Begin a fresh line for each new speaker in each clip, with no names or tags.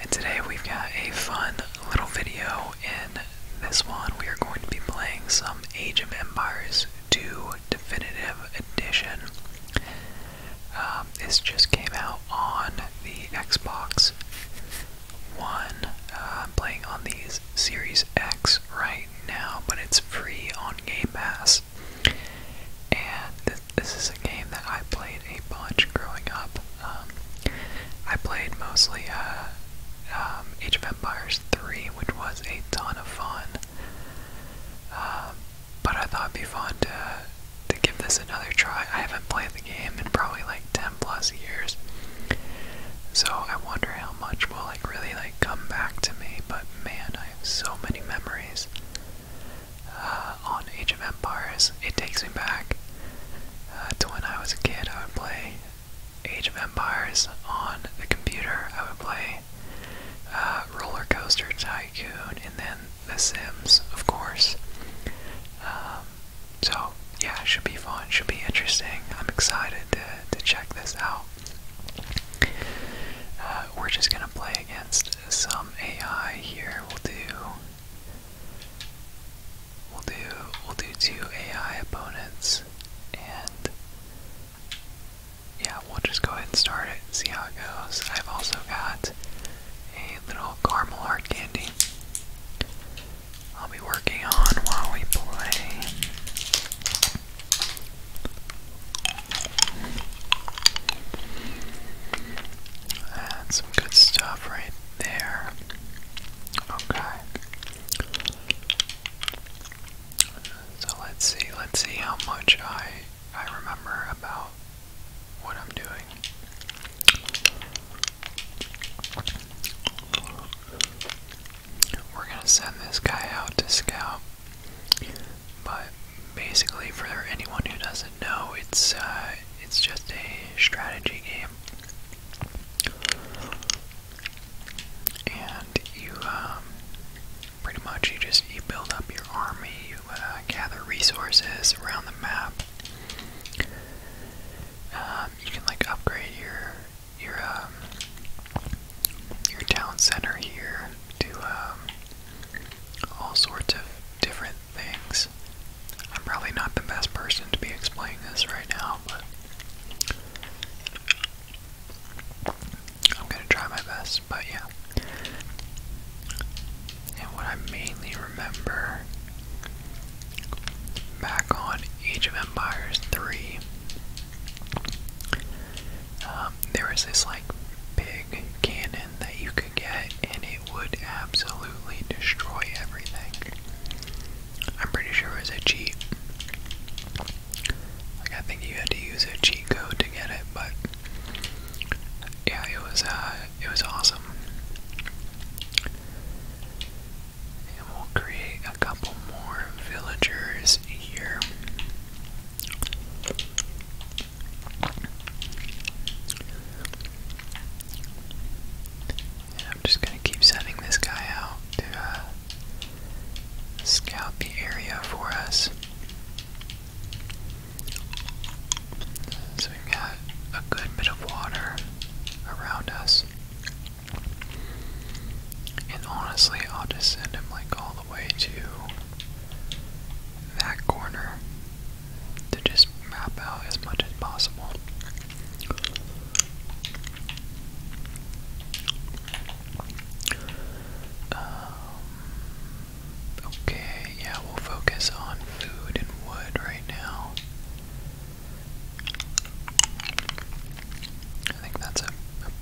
And today we've got a fun little video. In this one, we are going to be playing some Age of Empires 2 Definitive Edition. Um, this just came out on the Xbox One. Uh, I'm playing on these Series X right now, but it's free on Game Pass. And this is a game that I played a bunch growing up. Um, I played mostly uh, um, Age of Empires 3, which was a ton of fun. Um, but I thought it'd be fun to, to give this another try. I haven't played the game in probably like 10 plus years. So I wonder how much will like really like come back to me, but man, I have so many memories uh, on Age of Empires. It takes me back uh, to when I was a kid. I would play Age of Empires on the computer. I would play uh, Roller Coaster Tycoon and then The Sims, of course. Um, so, yeah, should be fun, should be interesting. I'm excited to, to check this out. we're just gonna play against some AI here. We'll do We'll do we'll do two AI opponents and yeah, we'll just go ahead and start it, and see how it goes. I've also got a little caramel hard candy. I'll be working on while we play some good stuff right there. Okay. So let's see, let's see how much I I remember about what I'm doing. We're gonna send this guy out to scout, but basically, for anyone who doesn't know, it's uh, it's just a strategy game, and you um, pretty much you just you build up your army, you uh, gather resources around the map. Um, you can like upgrade your your um, your town center here to all sorts of different things. I'm probably not the best person to be explaining this right now, but I'm gonna try my best, but yeah. And what I mainly remember back on Age of Empires 3, um, there was this like big cannon that you could get, and it would absolutely destroy everything. I'm pretty sure it was a cheat. Like, I think you had to use a cheat code to get it, but yeah, it was uh, it was awesome. And we'll create a couple more villagers here. I'm just going to keep sending this guy out to uh, scout the area for us. So we've got a good bit of water around us. And honestly, I'll just send him like all the way to that corner to just map out as much as possible. Um, okay, yeah, we'll focus on food and wood right now. I think that's a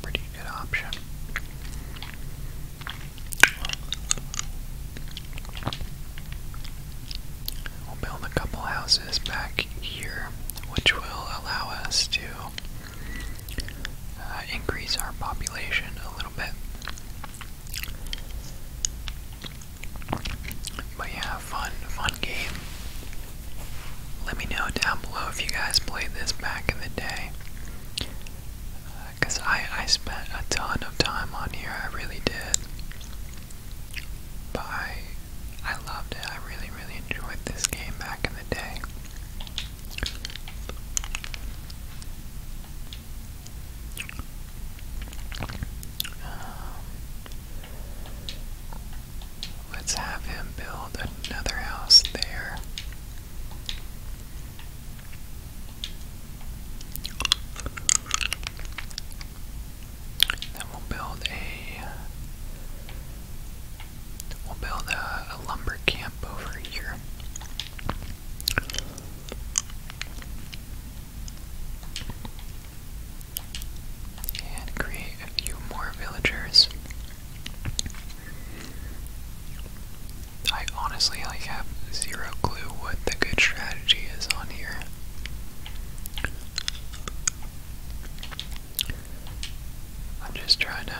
pretty good option. We'll build a couple houses back here, which will allow us to uh, increase our population a little bit. But yeah, fun, fun game. Let me know down below if you guys played this back in the day. Because uh, I, I spent a ton of time on here, I really did. But I, I loved it. I really, really enjoyed this game back in the day. Um, let's have him build another house there. Then we'll build a we'll build a, lumber camp over here. And create a few more villagers. I honestly like have zero clue what the good strategy is on here. I'm just trying to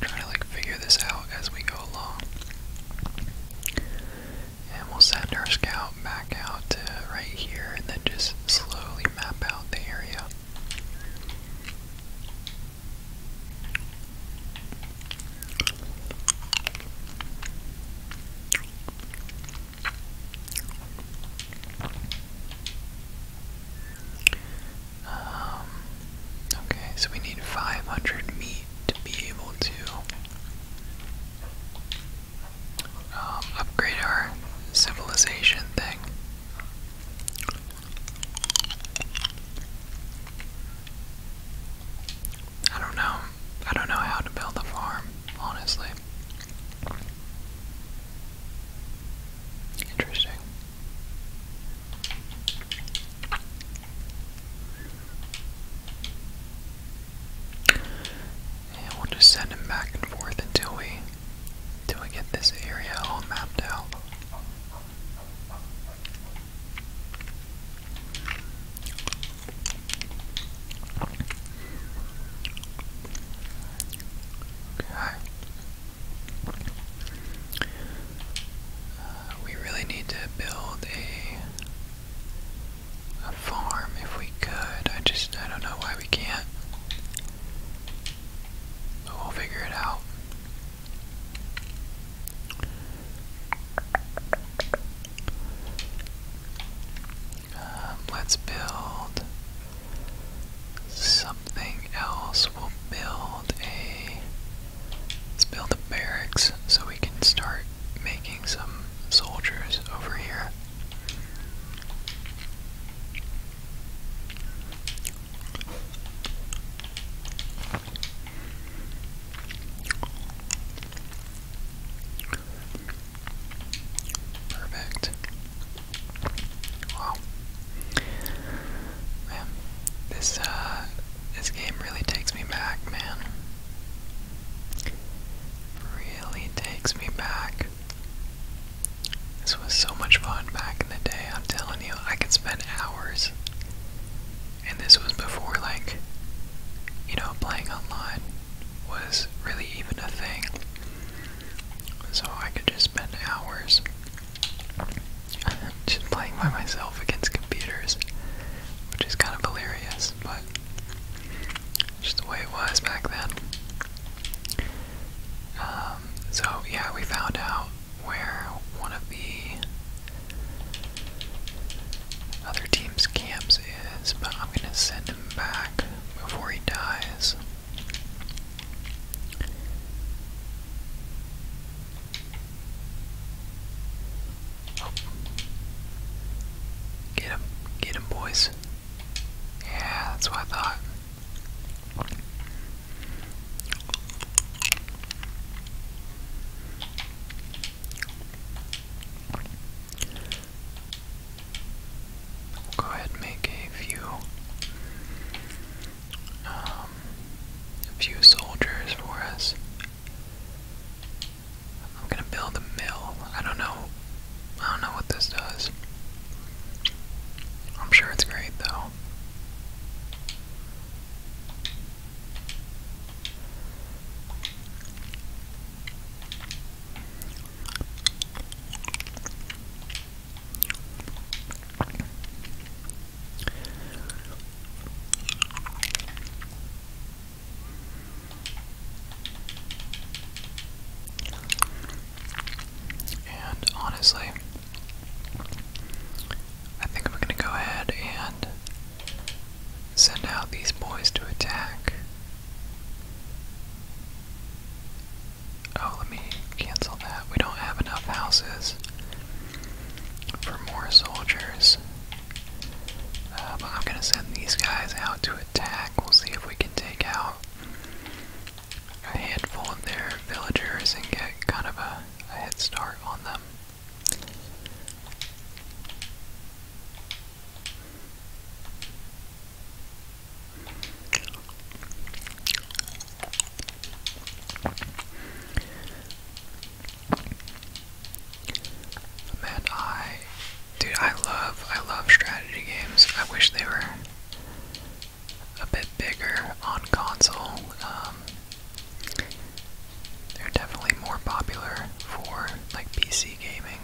try to like figure this out as we go along. And we'll send our scout back out right here and then just slowly map out the area. Um, okay, so we need 500 meat to be able to um, upgrade our civilization thing. I don't know. I don't know how to build a farm, honestly. Interesting. And we'll just send him back and forth until we until we get this area all mapped out we really need to build a a farm if we could. I just I don't know why we can't. But we'll figure it out. Um, let's build something else. We'll build a. Let's build a barracks so we can start making some soldiers over here. Perfect. Wow. Man, this uh this game really takes me back, man. Really takes me back. This was so much fun back in the day, I'm telling you, I could spend hours and this was before like you know playing online was really even a thing so I could just spend hours just playing by myself against computers which is kind of hilarious but just the way it was back then um, so yeah we found out where one of the other team's camps is, but I'm going to send him back before he dies. Get him, get him, boys. Yeah, that's what I thought go ahead make a few, um, a few soldiers for us. I'm gonna build a mill. I don't know. I don't know what this does. I'm sure it's great though. And honestly, I think I'm gonna go ahead and send out these boys to attack. Oh, let me cancel that. We don't have enough houses for more soldiers. Uh, but I'm gonna send these guys out to attack. We'll see if we can take out a handful of their villagers and get kind of a head start on them. Man, I dude, I love I love strategy games. I wish they were a bit bigger on console. Um, they're definitely more popular for like PC gaming.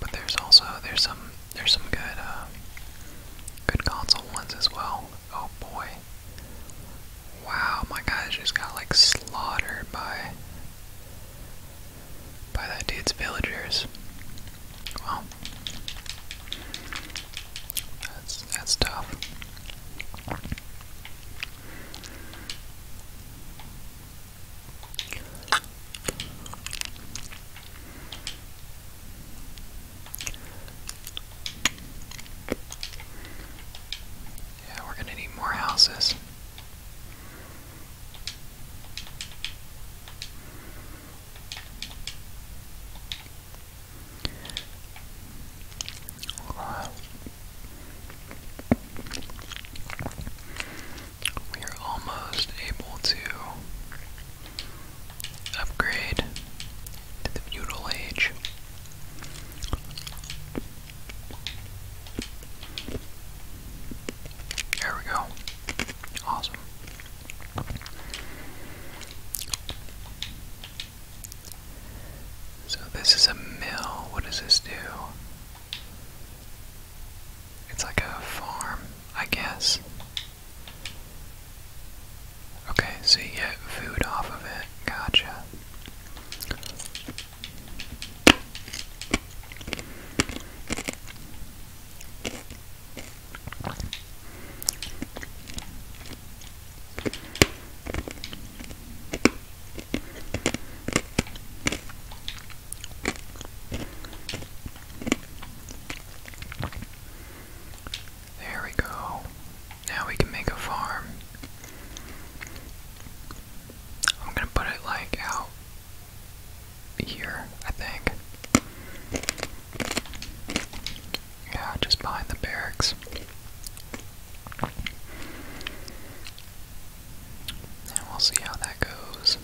But there's also there's some there's some good uh, good console ones as well. Oh boy! Wow, my guys just got like slaughtered by by that dude's villagers. Well, that's that's tough. Yeah, we're gonna need more houses. We are almost able to upgrade to the feudal age. There we go. Awesome. So this is a mill. What does this do? It's like a farm, I guess. Okay, so you get food off of it. Gotcha. There we go. Now we can make a farm. I'm gonna put it like out here, I think. Yeah, just behind the barracks. And we'll see how that goes.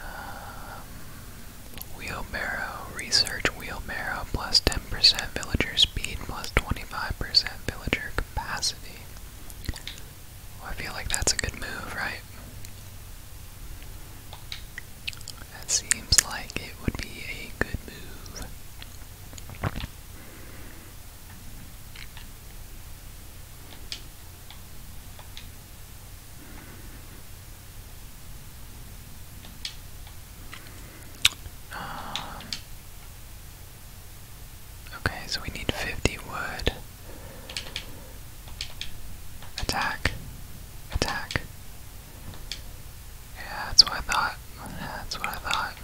Um, wheelbarrow. Research wheelbarrow plus 10% villager speed plus 25% villager capacity. I feel like that's a good move, right? That seems like it would be a good move. Um, okay, so we need 50 wood. Attack. Attack. Yeah, that's what I thought. That's what I thought.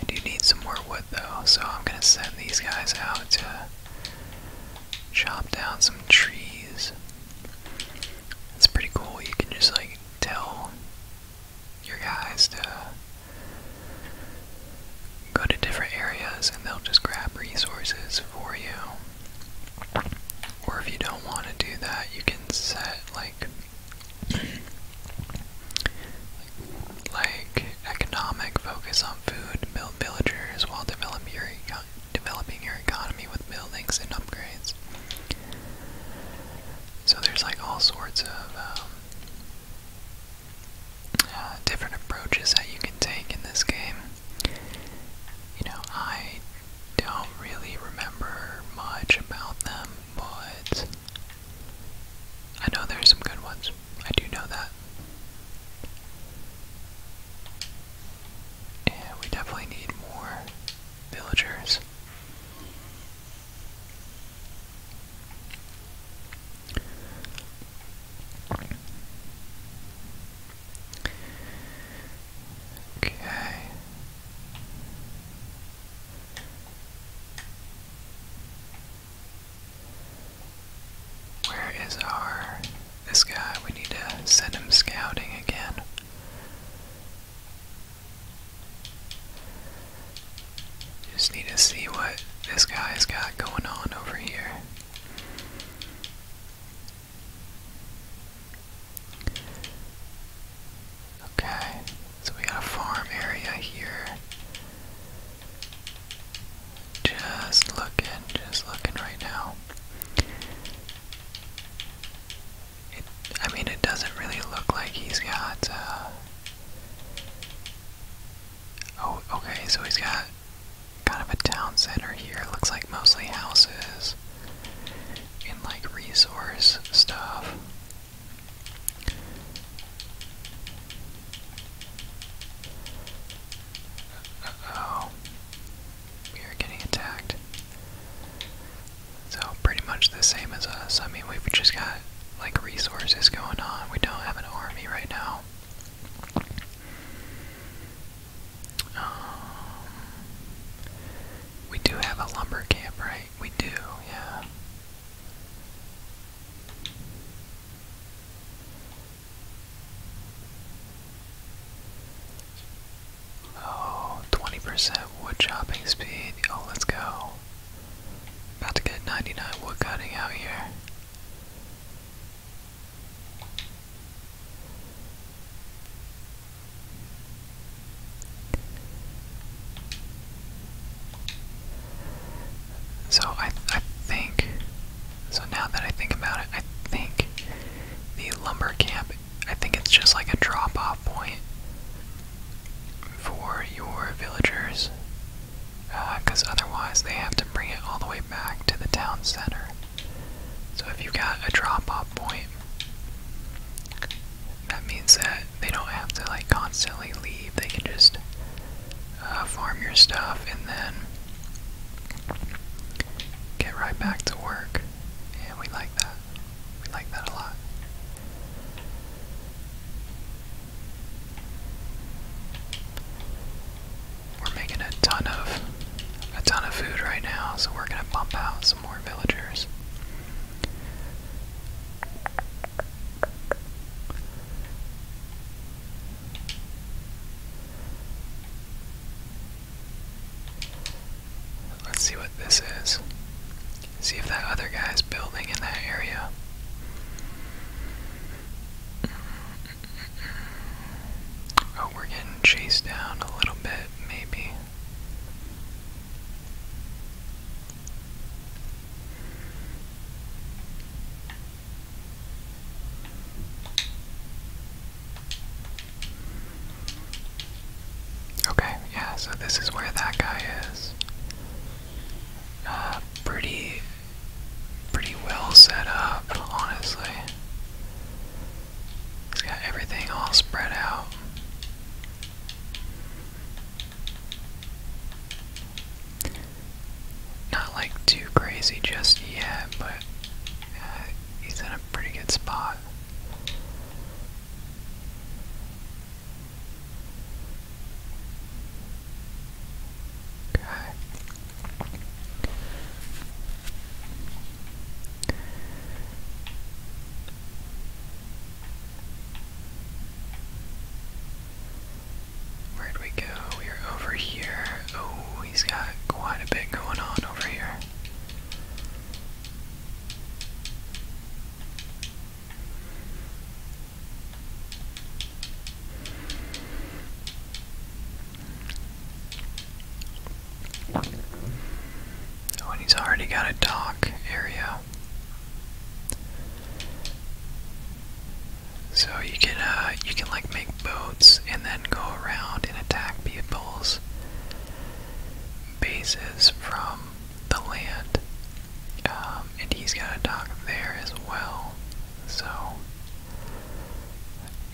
I do need some more wood though, so I'm gonna send these guys out to chop down some trees. It's pretty cool. You can just like tell your guys to go to different areas and they'll just grab resources for you. Or if you don't want to do that, you can set like like economic focus on food, build villagers while developing your developing your economy with buildings and upgrades. So there's like all sorts of um, uh, different approaches that you can take in this game. You know, I don't really remember much about them, but I know there's some good ones. I do know that. And we definitely need more villagers. Okay. Where is our this guy, we need to send him scouting again. Just need to see what this guy's got going on over here. Okay, so we got a farm area here. Just looking, just looking right now. It, I mean, it doesn't really look like he's got. Uh, oh, okay, so he's got kind of a town center here. It looks like mostly houses and like resource stuff. oh. We are getting attacked. So pretty much the same as us. I mean, we've just got like resources going on. We don't have an army right now. Um, we do have a lumber camp, right? We do, yeah. Oh, 20% wood chopping speed. Oh, let's go. About to get 99 wood cutting out here. So I, I think, so now that I think about it, I think the lumber camp I think it's just like a drop off point for your villagers because uh, otherwise they have to bring it all the way back to the town center. So if you've got a drop off point, that means that they don't have to like constantly leave, they can just uh, farm your stuff and then get right back to work. And we like that. We like that a lot. We're making a ton of a ton of food right now, so we're gonna bump out some more villagers. Let's see what this is. See if that other guy's building in that area. Oh, we're getting chased down a little bit, maybe. Okay, yeah, so this is where that guy is. Uh, pretty, pretty well set up, honestly. He's got everything all spread out. Not like too crazy just yet, but uh, he's in pretty good spot. Okay. Where'd we go? We're over here. Oh, he's got quite a bit going on over here. Oh, he's already got a dock area. So you can uh, you can like make boats and then go around and attack people's bases from the land. Um, and he's got a dock there as well. So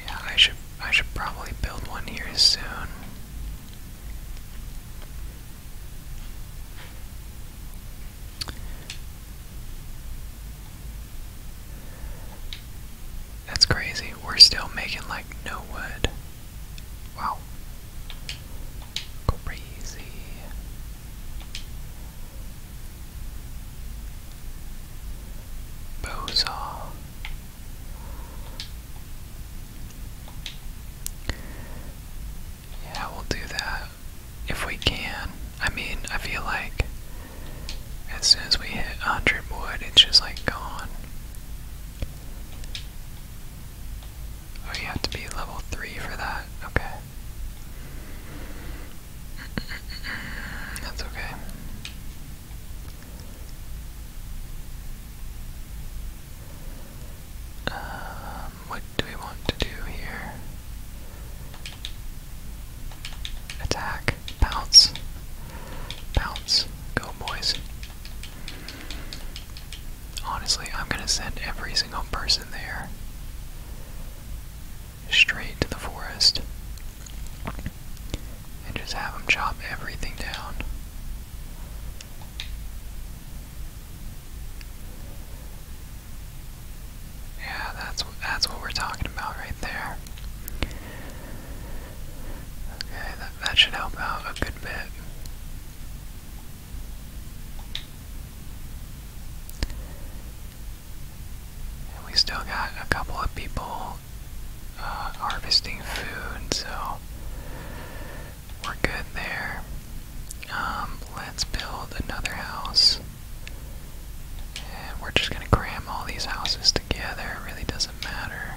yeah, I should I should probably build one here soon. That's crazy. We're still making like no wood. Wow. Crazy. Bozaw. Yeah, we'll do that if we can. I mean, I feel like as soon as we hit 100 wood, it's just like gone. Oh, you have to be level 3 for that. Okay. That's okay. Um, what do we want to do here? Attack. Bounce. Bounce. Go, boys. Honestly, I'm gonna send every single person there straight to the forest and just have them chop everything down. Yeah, that's that's what we're talking about right there. Okay, that, should help out a good bit. we still got a couple of people uh, harvesting food, so we're good there. Um, let's build another house. And we're just gonna cram all these houses together, it really doesn't matter.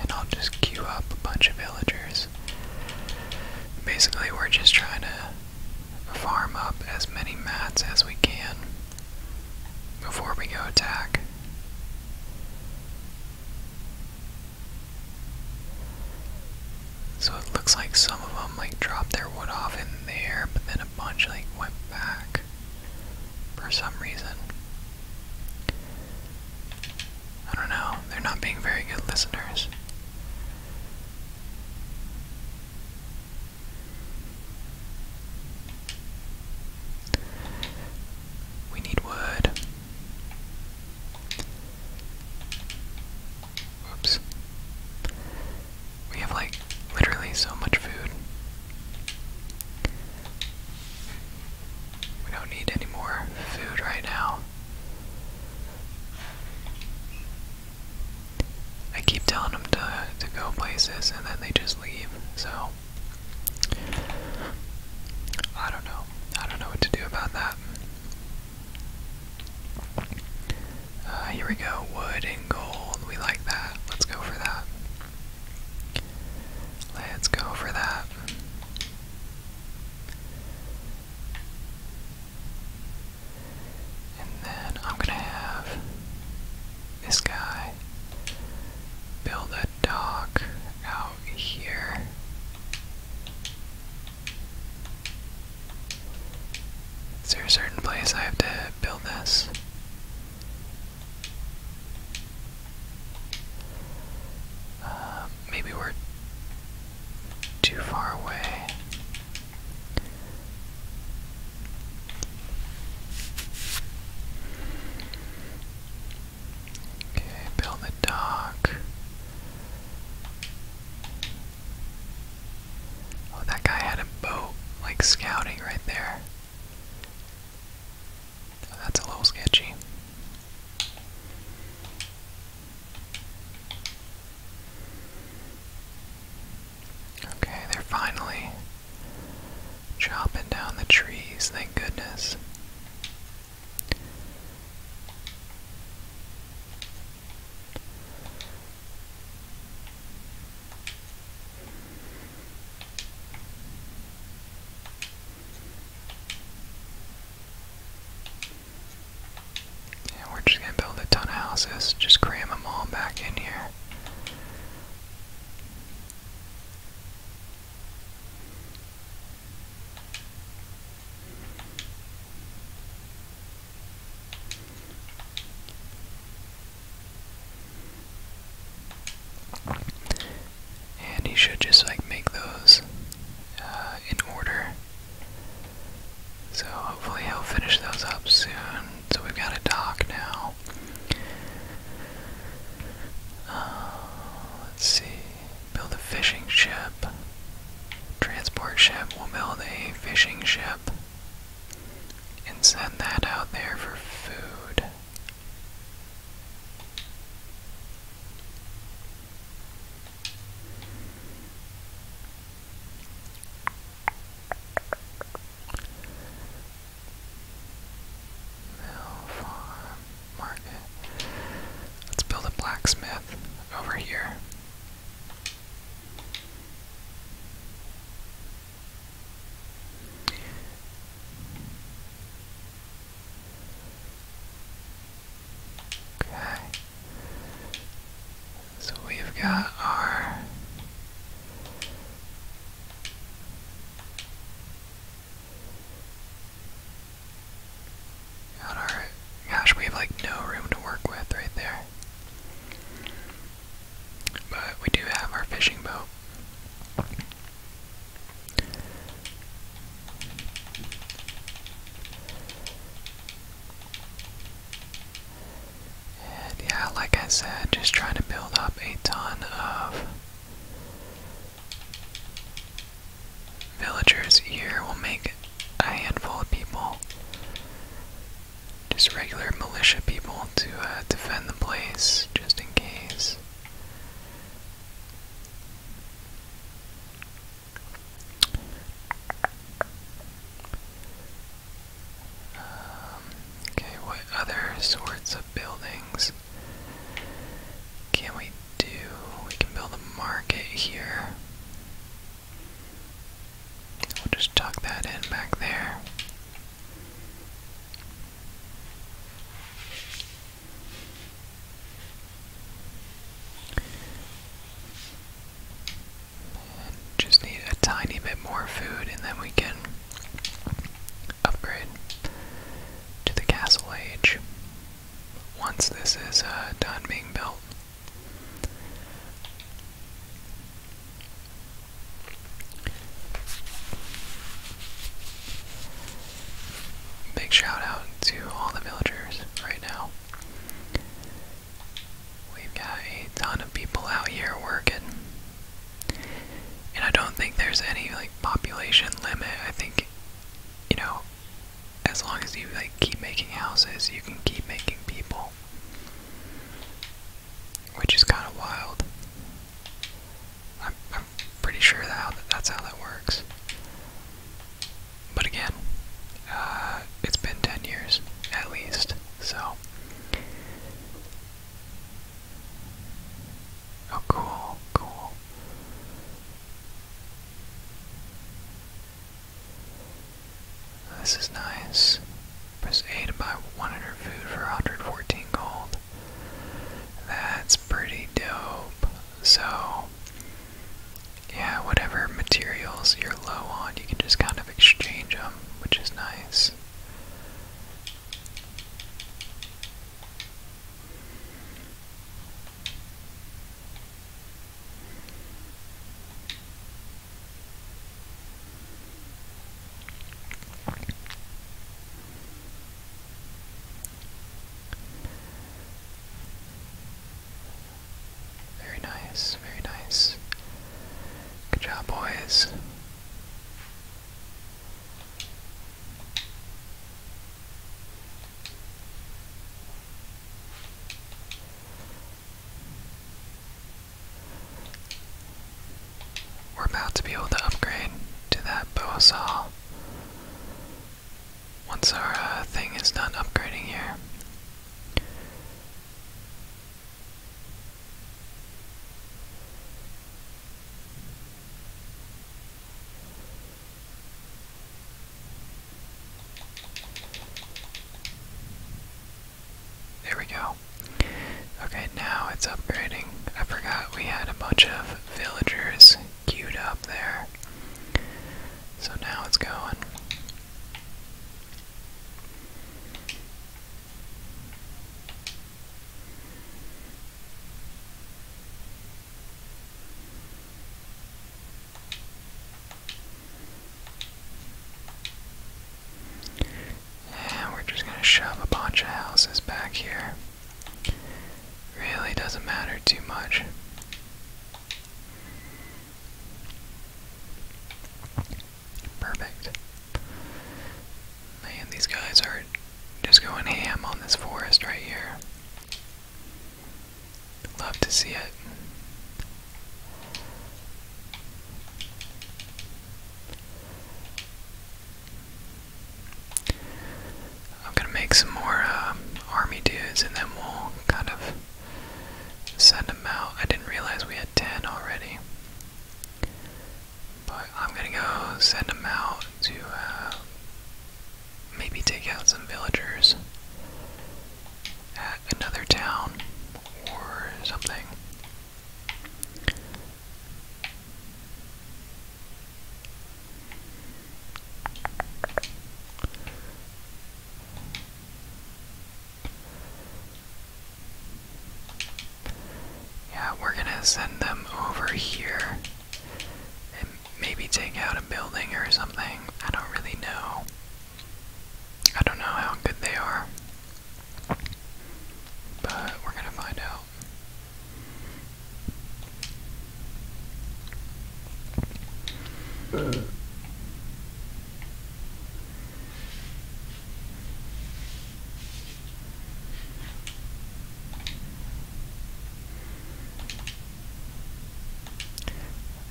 And I'll just queue up a bunch of villagers. Basically, we're just trying to farm up as many mats as we can before we go attack. So it looks like some of them like dropped their wood off in there, but then a bunch like went back for some reason. I don't know, they're not being very good listeners. We need wood. Whoops. We have like literally so much food. We don't need any more food right now. I keep telling them to, to go places and then they just leave, so. I don't know. I don't know what to do about that. Uh, here we go. Wood and gold. We like that. Let's go for that. Let's go for that. And then I'm gonna have this guy build a dock out here. Is there a certain place I have to build this? Uh, maybe we're too far away. Okay, build the dock. Oh, that guy had a boat, like scouting right there. That's a little sketchy. Okay, they're finally chopping down the trees, thank goodness we're just gonna build a ton of houses, just cram them all back in here and he should just like make those uh, in order. So hopefully he'll finish those up soon. So we've got a dock now. Uh, let's see. Build a fishing ship. Transport ship. We'll build a fishing ship and send that out there for food. Mill farm market. Let's build a blacksmith over here. Okay. So we've got our got our gosh, we have like no room to work with right there. But we do have our fishing boat yeah, like I said, just trying to build up a ton of villagers here. will make a handful of people, just regular militia people, to uh, defend the place just in case. Um, okay, what other sorts of buildings can we do? We can build a market here. We'll just tuck that in back there just need a tiny bit more food, and then we can upgrade to the castle age once this is uh, done being built. Big shout out to all the villagers right now. We've got a ton of people out here working. And I don't think there's any like population limit. I think you know, as long as you like keep making houses, you can keep making people. Which is kind of wild. I'm, I'm pretty sure that how, that's how that works. But again, uh, it's been 10 years at least, so. Oh, cool, cool. This is nice. Press A to buy 100 food for 114 gold. That's pretty dope. So, yeah, whatever materials you're low on, you can just kind of exchange them, which is nice. Very nice, very nice. Good job, boys. We're about to be able to upgrade to that bow once our uh, thing is done upgrading here. There we go. Okay, now it's upgrading. I forgot we had a bunch of villagers queued up there. So now it's going. And we're just going to shove a bunch of houses back here. Really doesn't matter too much. Perfect. Man, these guys are just going ham on this forest right here. Love to see it. I'm gonna make some more uh, army dudes and then we'll kind of send them out. I didn't realize we had 10 already. But I'm gonna go send them out to uh, maybe take out some villagers at another town or something. Yeah, we're gonna send them over here and maybe take out a building or something. I don't really know. I don't know how good they are, but we're gonna find out.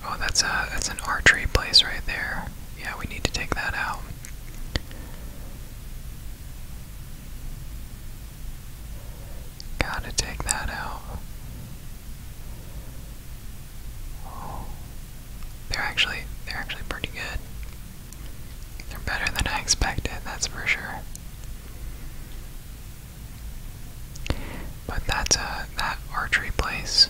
Oh, that's a that's an archery place right there. Yeah, we need to take that out. Gotta take that out. They're actually they're actually pretty good. They're better than I expected, that's for sure. But that's a uh, that archery place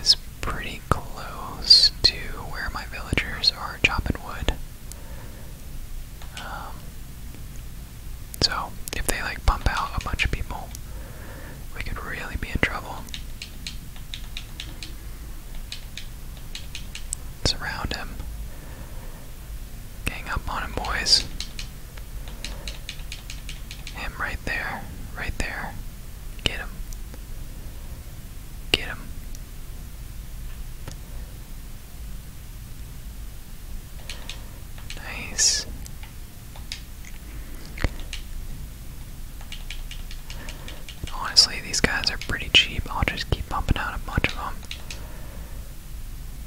is pretty close to where my villagers are chopping wood. Um, so, if they like pump out a bunch of people, we could really be in trouble. Surround him. Gang up on him, boys. Him right there, right there. Get him. Get him. Nice. Honestly, these guys are pretty cheap. I'll just keep pumping out a bunch of them.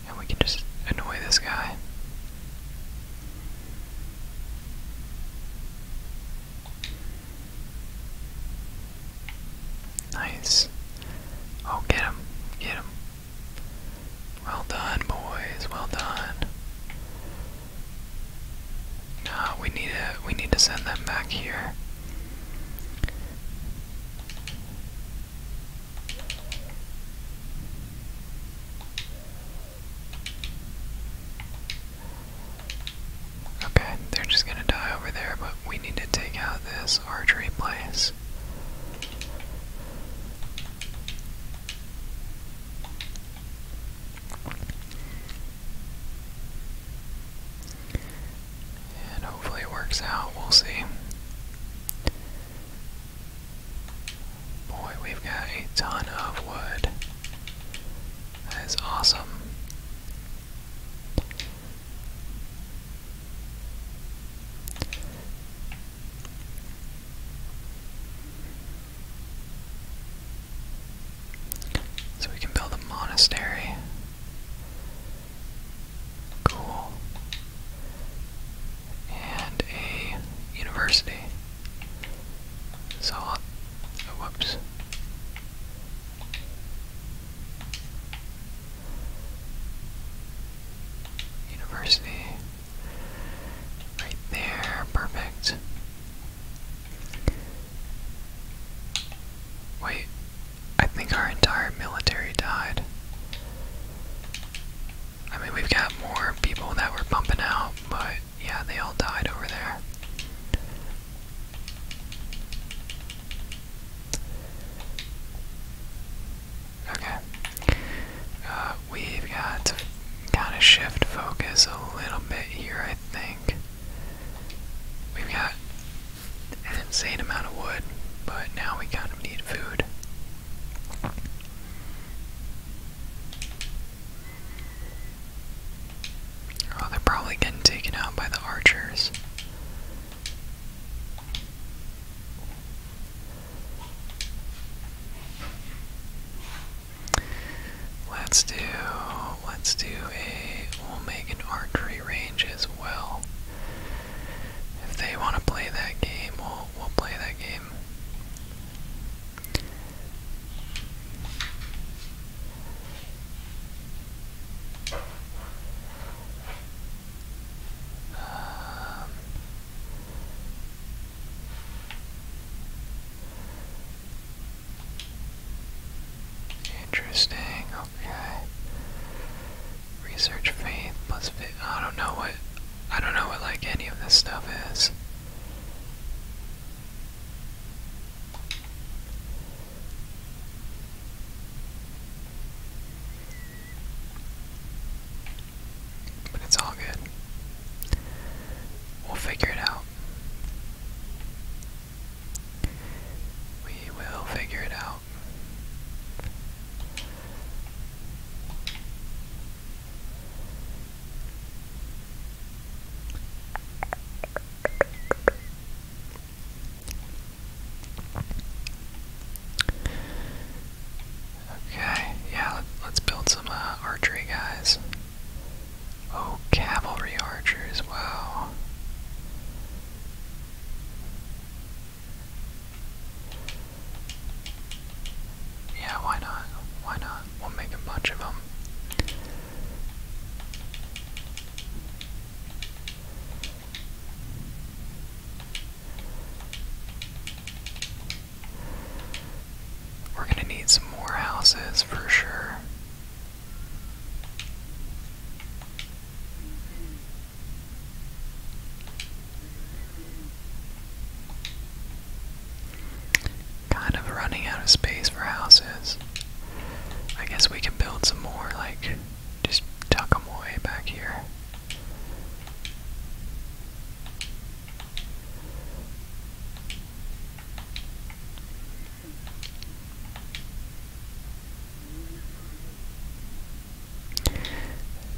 And we can just annoy this guy. Nice. Oh, get him. Get him. Well done, boys. Well done. Ah, we need to we need to send them back here. Okay, they're just gonna die over there, but we need to take out this archery place. And hopefully it works out. We'll see. Boy, we've got a ton of wood. That is awesome. So we can build a monastery. Cool. And a university. So uh, whoops. University. Right there, perfect. Wait, I think our entire military died. I mean, we've got more people that were pumping out, but yeah, they all died over there. Okay. Uh, we've got to kind of shift focus a little bit here, I think. We've got an insane amount of wood, but now we kind of need food. Oh, they're probably getting taken out by the archers. Let's do, let's do a, we'll make an archery range as well. If they want to play that game, we'll, we'll play that game interesting, okay. Research faith plus faith. I don't know what I don't know what like any of this stuff is. But it's all good. We'll figure it out. We will figure it out. Okay, yeah, let, us build some uh, archery guys. Oh, cavalry archers, wow. Yeah, why not? Why not? We'll make a bunch of them. We're gonna need some more houses for sure. Kind of running out of space for houses. I guess we can build some more, like, just tuck them away back here.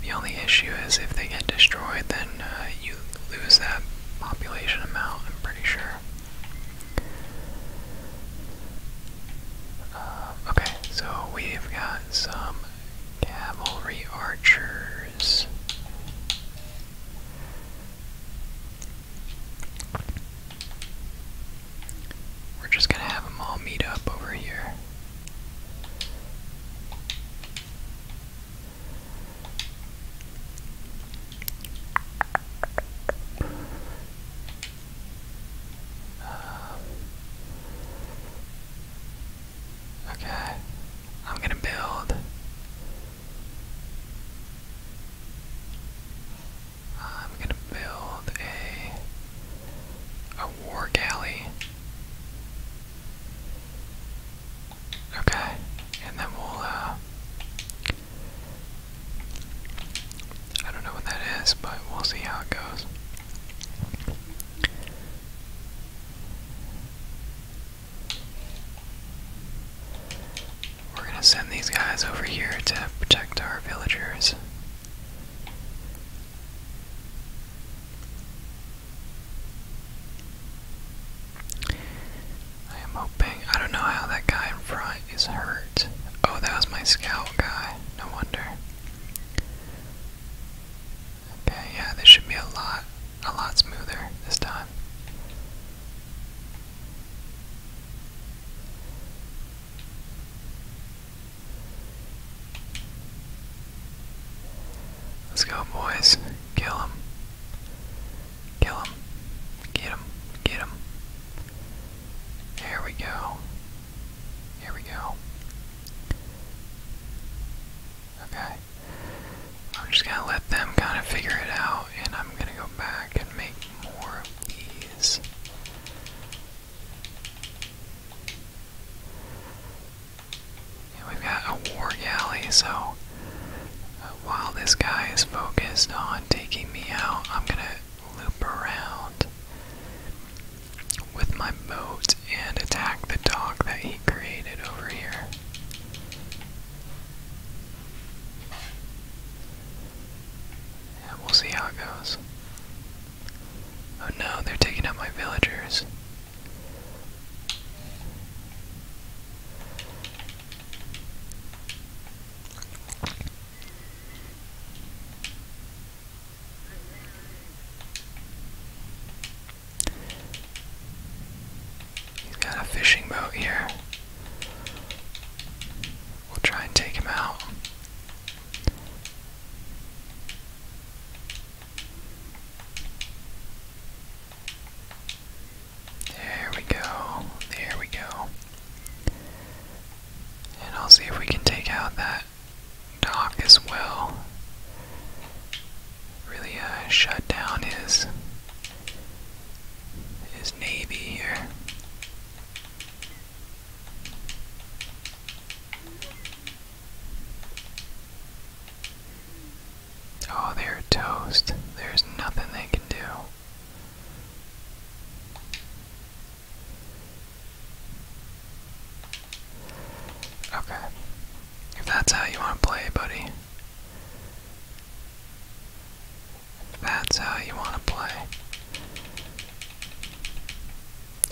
The only issue is if they get destroyed, then uh, you lose that population amount, I'm pretty sure. Uh, okay, so we've got some cavalry archers. We're just gonna have them all meet up over here. Uh, Okay, I'm gonna build. I'm gonna build a a war galley. Okay, and then we'll uh, I don't know what that is, but we'll see how it goes. We're gonna send these guys over here to protect our villagers. I am hoping. I don't know how that guy in front is hurt. Oh, that was my scout guy. No wonder. Okay, yeah, this should be a lot, a lot smoother this time. Let's go, boys. Kill him. Kill him. Get him. Get him. There we go. Here we go. Okay. I'm just gonna let them kind of figure it out, and I'm gonna go back and make more of these. we've got a war galley, so uh, while this guy is focused on taking me out, I'm gonna loop around with my boat and attack the dock that he created over here. we'll see how it goes. Oh no, they're taking out my villagers. He's got a fishing boat here. We'll try and take him out. There we go. There we go. And I'll see if we can take out that Doc as well. Really uh, shut down his his navy here. Oh, they're toast. There's nothing they can do. Okay. If that's how you want to play, buddy. that's how you want to play.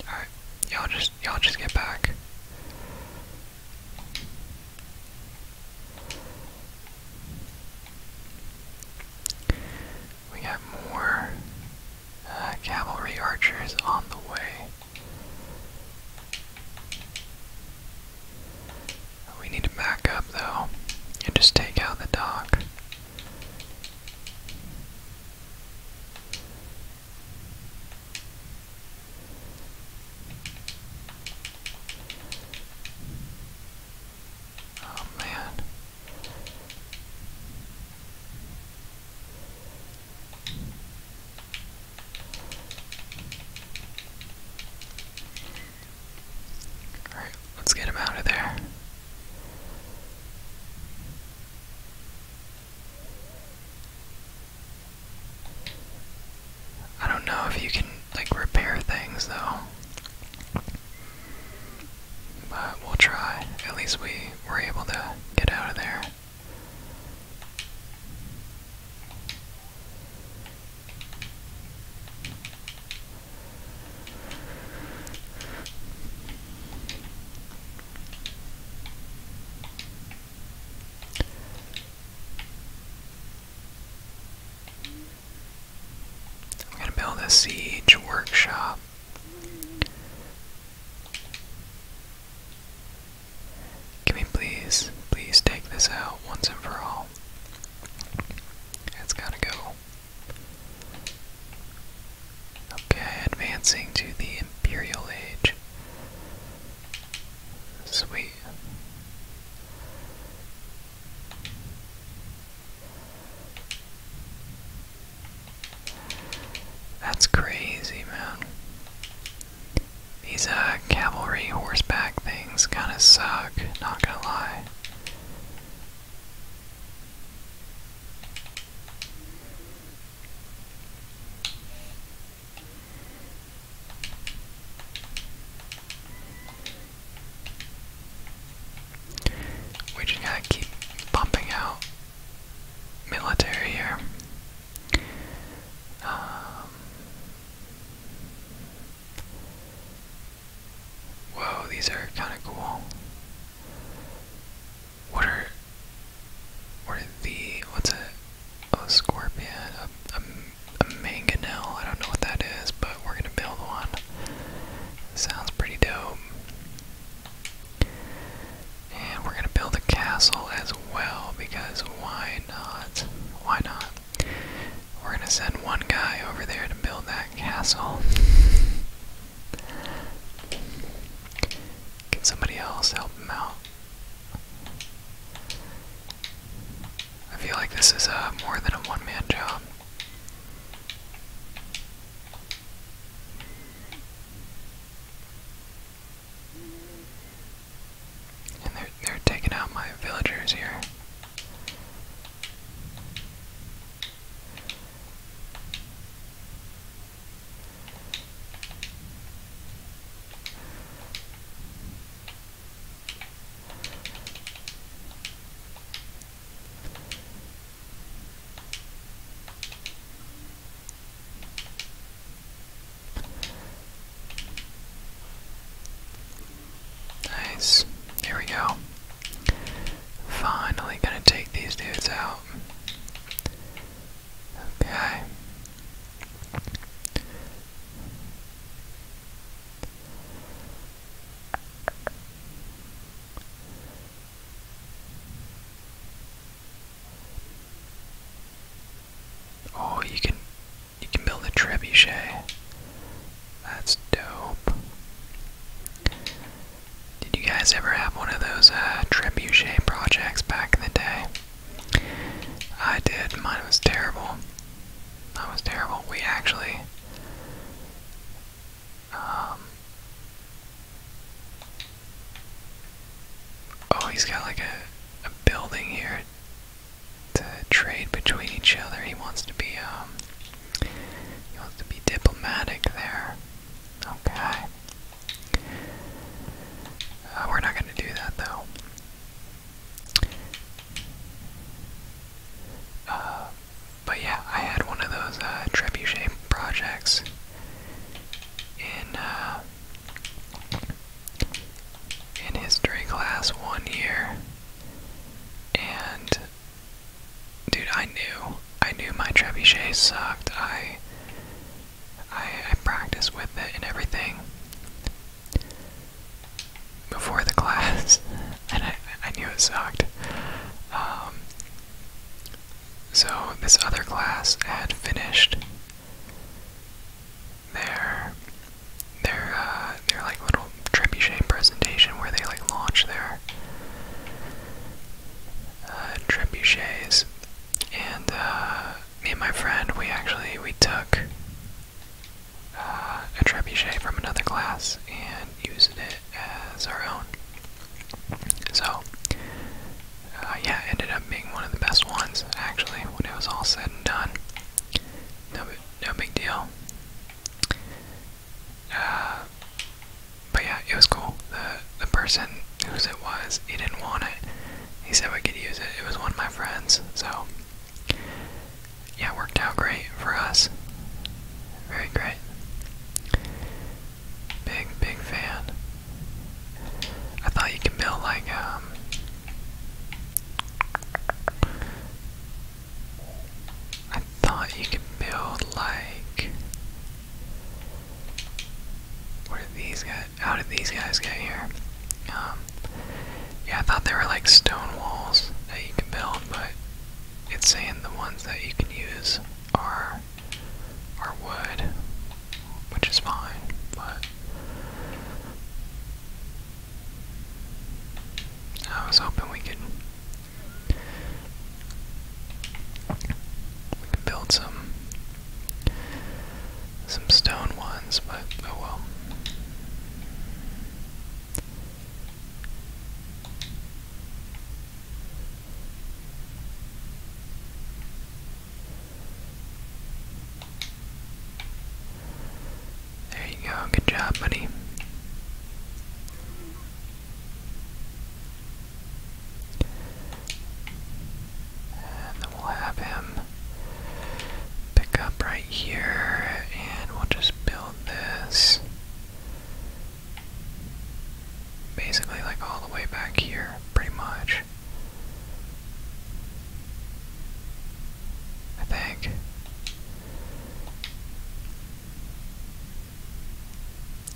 Alright, y'all just y'all just get back. We got more uh, cavalry archers on the way. We need to back up though and just take out the dock. Oh man. Alright, let's get him out of there. I don't know if you can, like, repair things though. But we'll try. At least we were able to get out of there. I'm going to build a siege workshop. Can we please, please take this out once and for all? It's gotta go. Okay, advancing to the Imperial Age. Sweet. That's crazy, man. These uh, cavalry horseback things kind of suck, not gonna lie. We just gotta keep pumping out military here. Um, whoa, these are kind of cool. What are what the what's a a scorpion a, a, a mangonel? I don't know what that is, but we're gonna build one. Sounds pretty dope. And we're gonna build a castle as well because why not? Why not? We're gonna send one guy over there to build that castle. Can somebody else help him out? I feel like this is uh, more than a one man job. And they're they're taking out my villagers here. Nice. Here we go. Finally gonna take these dudes out. Okay. Oh, you can you can build a trebuchet. That's dope. Did you guys ever have one of those uh, trebuchet projects back in the day? I did. Mine was terrible. That was terrible. We actually. Um, oh, he's got like a building here to trade between each other. He wants to be um, he wants to be diplomatic there. Okay. Uh, we're not going to do that though. Uh, but yeah, I had one of those uh, trebuchet projects in in history class one year, and dude, I knew, I knew my trebuchet sucked. I, I, I practiced with it and everything before the class, and I, I knew it sucked. Um, so this other class had finished their their uh, their like little trebuchet presentation where they like launch their uh, trebuchets, and uh, me and my friend we actually we took uh, a trebuchet from another class and used it as our own. So, uh, yeah, ended up being one of the best ones actually when it was all said done. No, no big deal. Uh, but yeah, it was cool. The the person whose it was, he didn't want it. He said we could use it. It was one of my friends, so yeah, worked out great for us. Very great. Big big fan. I thought you could build like um I thought you could build like where did these guys how did these guys get here? Um, yeah, I thought they were like stone walls that you can build, but it's saying the ones that you can use are are wood, which is fine, but I was hoping we could build some some stone ones, but oh well. There you go. Good job, buddy. And then we'll have him pick up right here, and we'll just build this basically like all the way back here, pretty much. I think.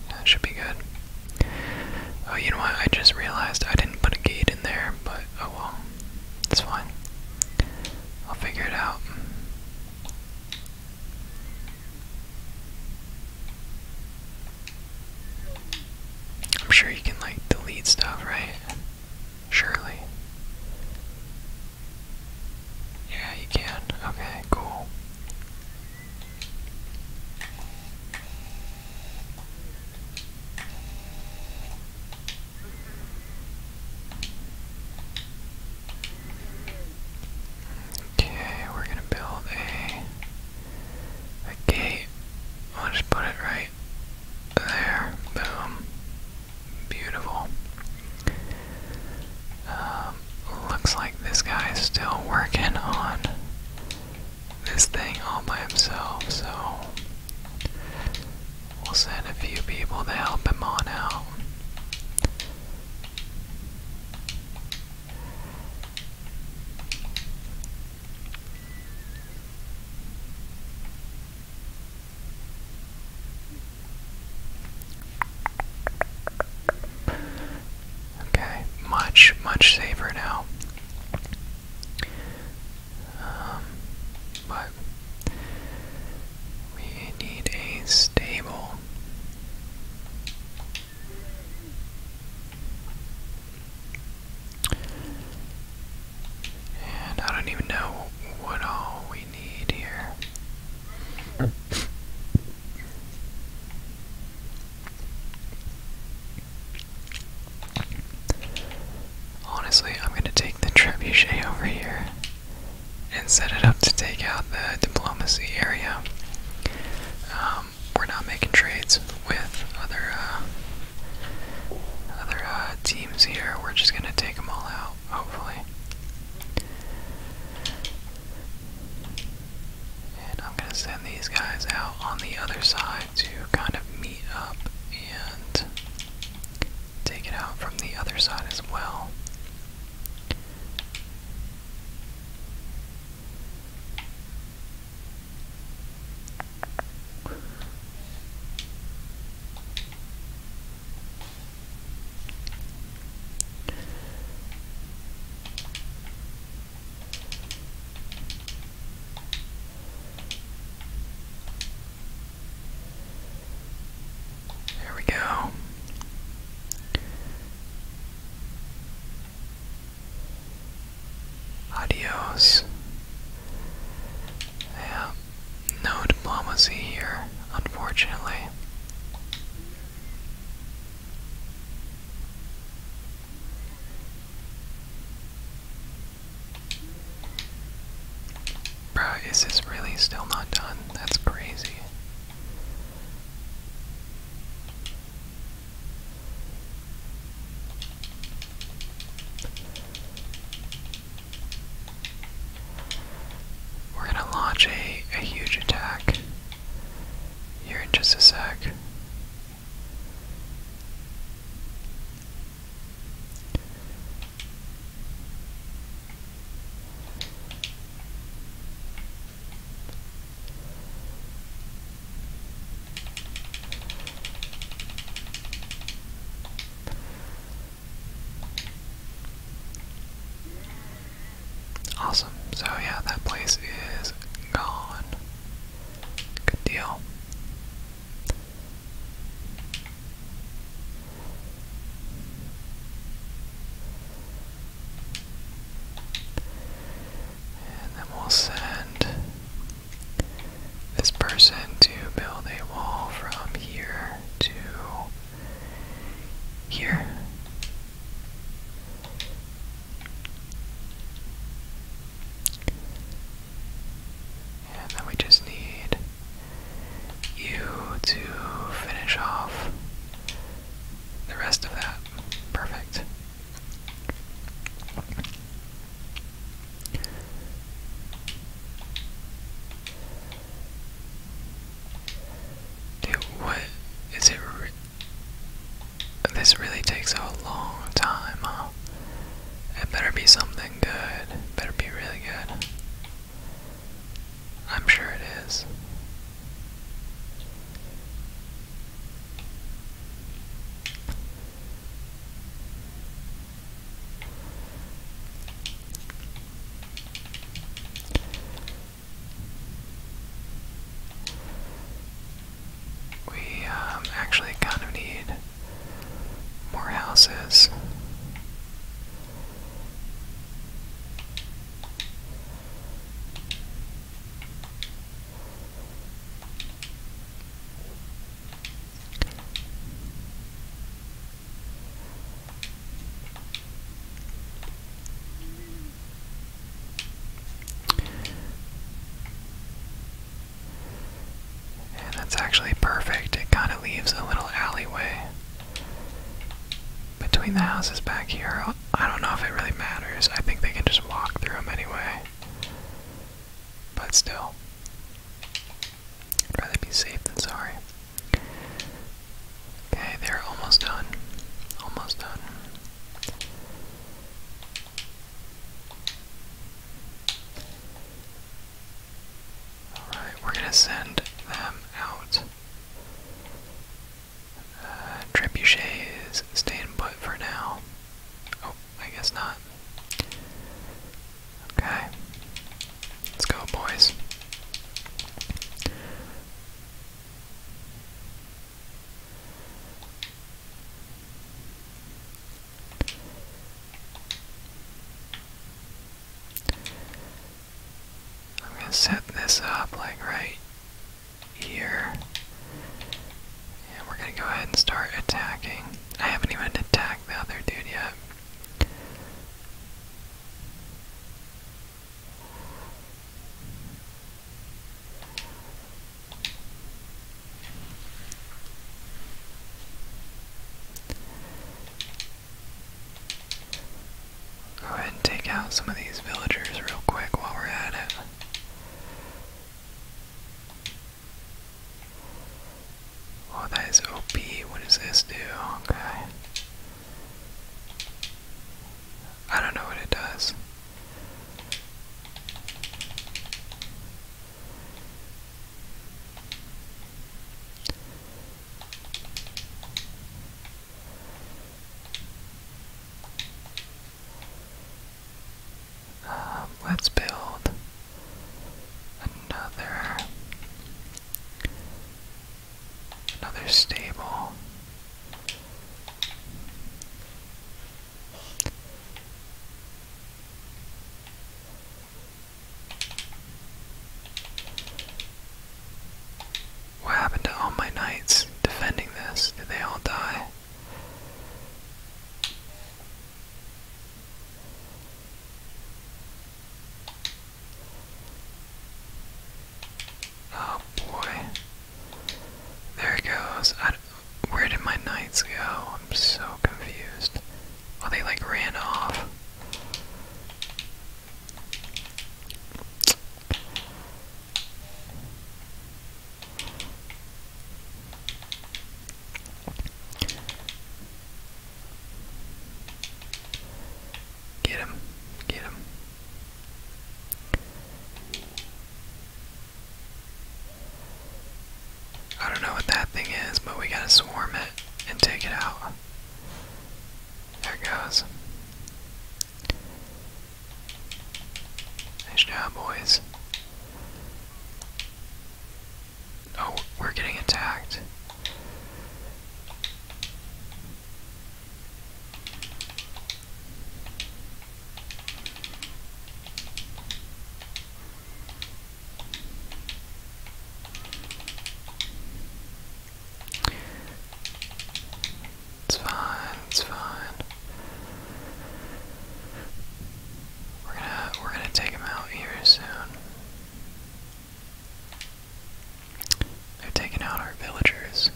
That should be good. Oh, you know what? I just realized I didn't put a gate in there, but oh well. It's fine. I'll figure it out. I'm sure you can, like, delete stuff, right? Surely. Yeah, you can. Okay, cool. Okay, we're gonna build a a gate. I'll just put it right there. Boom. Beautiful. Um, looks like this guy is still working on this thing all by himself, so we'll send a few people to help him on out. Okay, much, much safer now. Um, but we need a stable. And I don't even know what all we need here. Honestly, I'm going to take the trebuchet over here and set it up to take out the diplomacy area. Um, we're not making trades with other uh, other uh, teams here. We're just going to take them all out, hopefully. And I'm going to send these guys out on the other side to kind of meet up and take it out from the other side as well. There we go. Adios. Yeah, no diplomacy here, unfortunately. Bruh, is really still not done? That's crazy. We're gonna launch a, a huge attack here in just a sec. Awesome. So yeah, that place is gone. Good deal. And then we'll send this person to build a wall from here to here. And then we just need you to finish off the rest of that. Perfect what is it? this really takes a long time, It better be something good. better be really good. I'm sure it is. We um, actually kind of need more houses that's actually perfect. It kind of leaves a little alleyway between the houses back here. I don't know if it really matters. I think they can just walk through them anyway. But still. I'd rather be safe than sorry. Okay, they're almost done. Almost done. Alright, we're gonna send them out. Uh, is staying put for now. Oh, I guess not. Okay. Let's go, boys. I'm going to set this up like right here. And we're going to go ahead and start attacking. I haven't even attacked the other dude yet, Go ahead and take out some of these villagers real quick while we're at it. Oh, that is OP. What does this do? Okay. I don't know what it does. Um, let's build another another stable what happened to all my knights defending this? Did they all die? Oh boy. There it goes. where did my knights go? I'm so confused. Oh, they like ran off. Get him. Get him. I don't know what that thing is, but we gotta swarm it and take it out. There it goes. Nice job, boys. Oh, we're getting attacked. It's fine, it's fine. We're gonna we're gonna take him out here soon. They're taking out our villagers.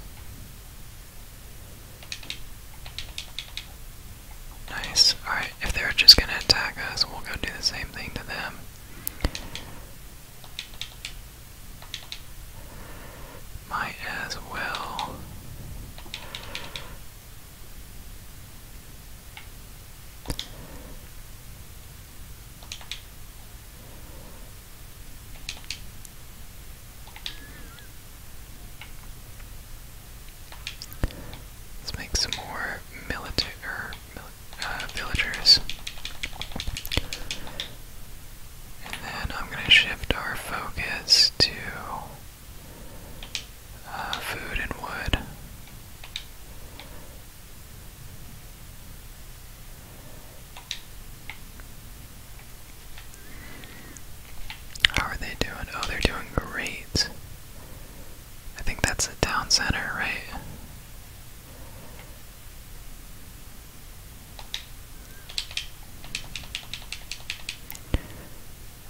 Nice. Alright, if they're just gonna attack us, we'll go do the same thing to them. Might as well. Let's make some more military uh, villagers. And then I'm going to shift our focus to uh, food and wood. How are they doing? Oh, they're doing great. I think that's the town center, right?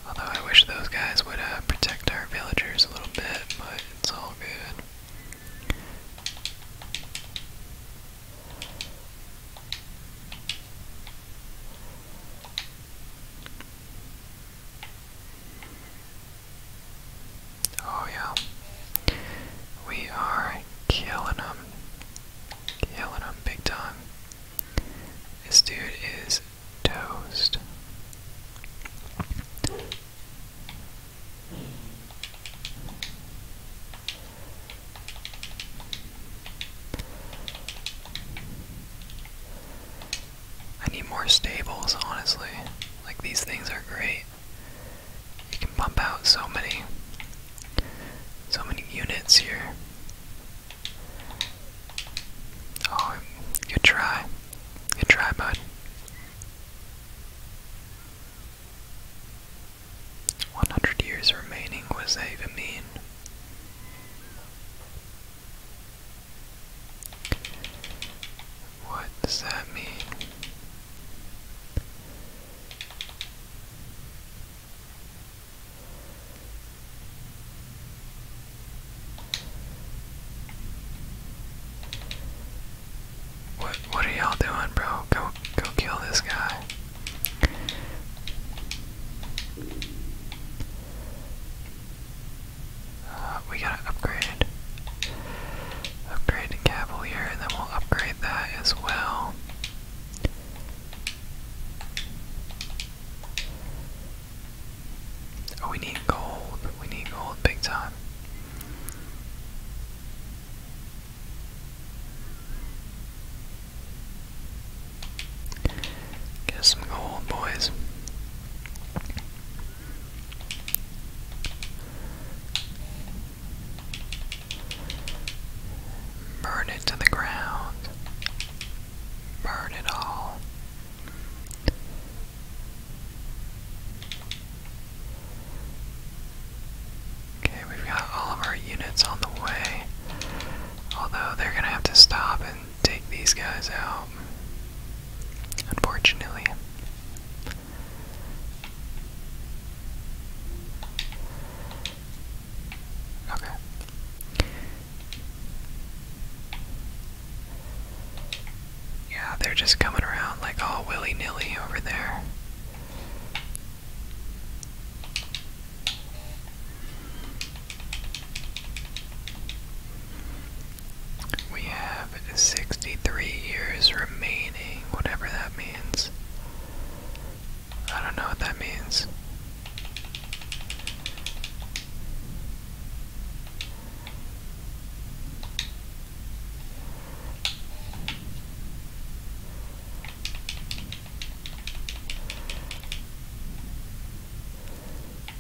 Although I wish those guys would uh, protect our villagers a little bit, but it's all good. Oh, yeah. We are killing him. Killing him big time. This dude is toast. I need more stables, honestly. Like, these things are great. You can pump out so many, so many units here. Oh, good try. Good try, bud. One hundred years remaining, was that What does that mean? What what are y'all doing, bro? Go go kill this guy. Uh, we gotta upgrade. Upgrade Cavalier, and then we'll upgrade that as well. Oh, we need gold. We need gold big time. Get some gold, boys. Burn it to the ground. Burn it all. Okay, we've got all of our units on the way. Although they're gonna have to stop and take these guys out. Unfortunately. Okay. Yeah, they're just coming around like all willy nilly over there. We have 63 years remaining, whatever that means. I don't know what that means.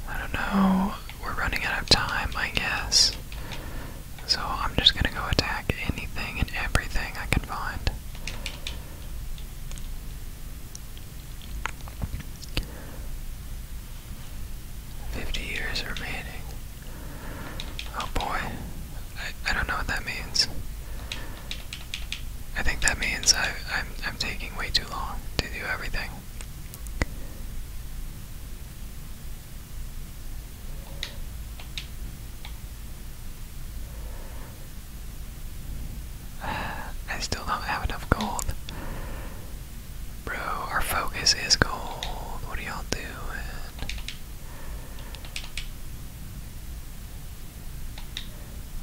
I don't know. We're running out of time, I guess. So I'm just gonna go attack anything and everything I can find. Fifty years remaining. Oh boy. I, I don't know what that means. I think that means I, I'm, I'm taking way too long to do everything. I still don't have enough gold. Bro, our focus is gold. What are y'all doing?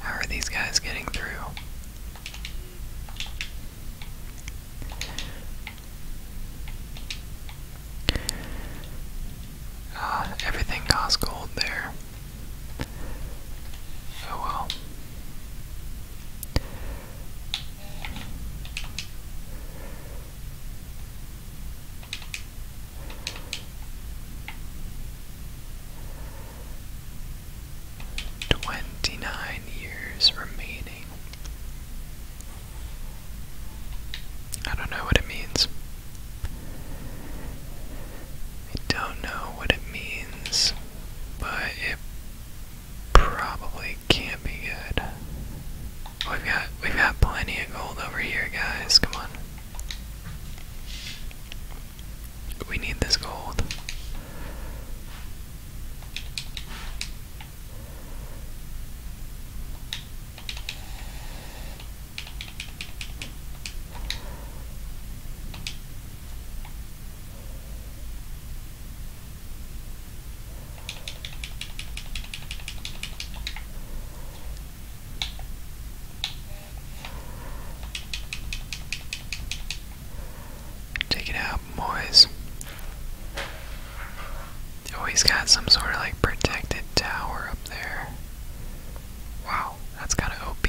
How are these guys getting through? Ah, everything costs gold there. Oh well. Twenty-nine years remaining. I don't know what it means. I don't know what it means, but it probably can't be good. We've got we've got plenty of gold over here, guys. Come on. We need this gold. Take it out, boys. Oh, he's got some sort of like protected tower up there. Wow, that's kind of OP.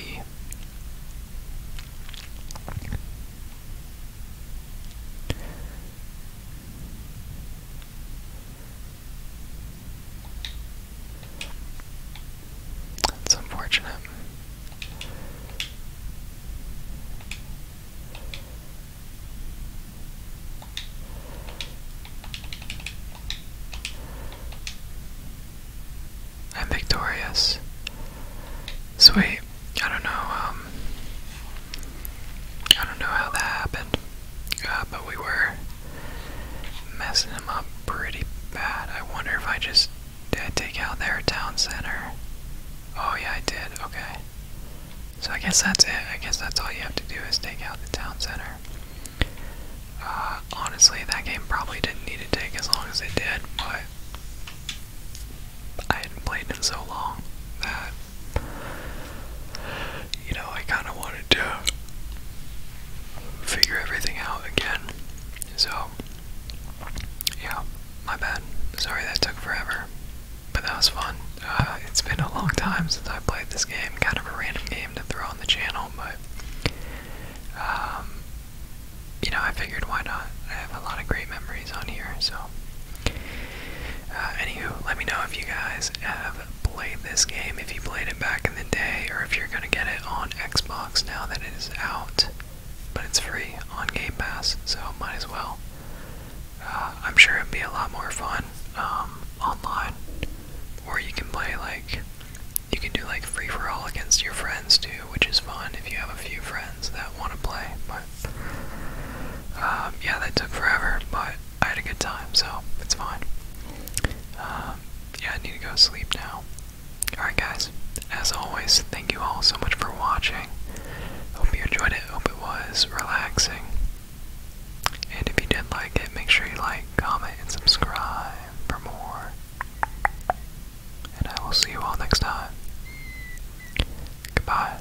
That's unfortunate. I'm victorious. Sweet. I don't know, um, I don't know how that happened, uh, but we were messing them up pretty bad. I wonder if I just did take out their town center. Oh yeah, I did. Okay. So I guess that's it. I guess that's all you have to do is take out the town center. Uh, honestly, that game probably didn't need to take as long as it did, but I hadn't played in so long that you know, I kind of wanted to figure everything out again. So, yeah, my bad. Sorry that took forever, but that was fun. Uh, it's been a long time since I played this game. Kind of a random game to throw on the channel, but um, you know, I figured why not? I have a lot of great memories on here, so uh, anywho, let me know if you guys have played this game, if you played it back in the day, or if you're going to get it on Xbox now that it is out. But it's free on Game Pass, so might as well. Uh, I'm sure it'd be a lot more fun um, online, or you can play like you can do like free for all against your friends too, which is fun if you have a few friends that want to play. But um, yeah, that took forever, but I had a good time, so it's fine. Um, yeah, I need to go sleep now. Alright, guys, as always, thank you all so much for watching. Hope you enjoyed it, hope it was relaxing. And if you did like it, make sure you like, comment, and subscribe for more. And I will see you all next time. Goodbye.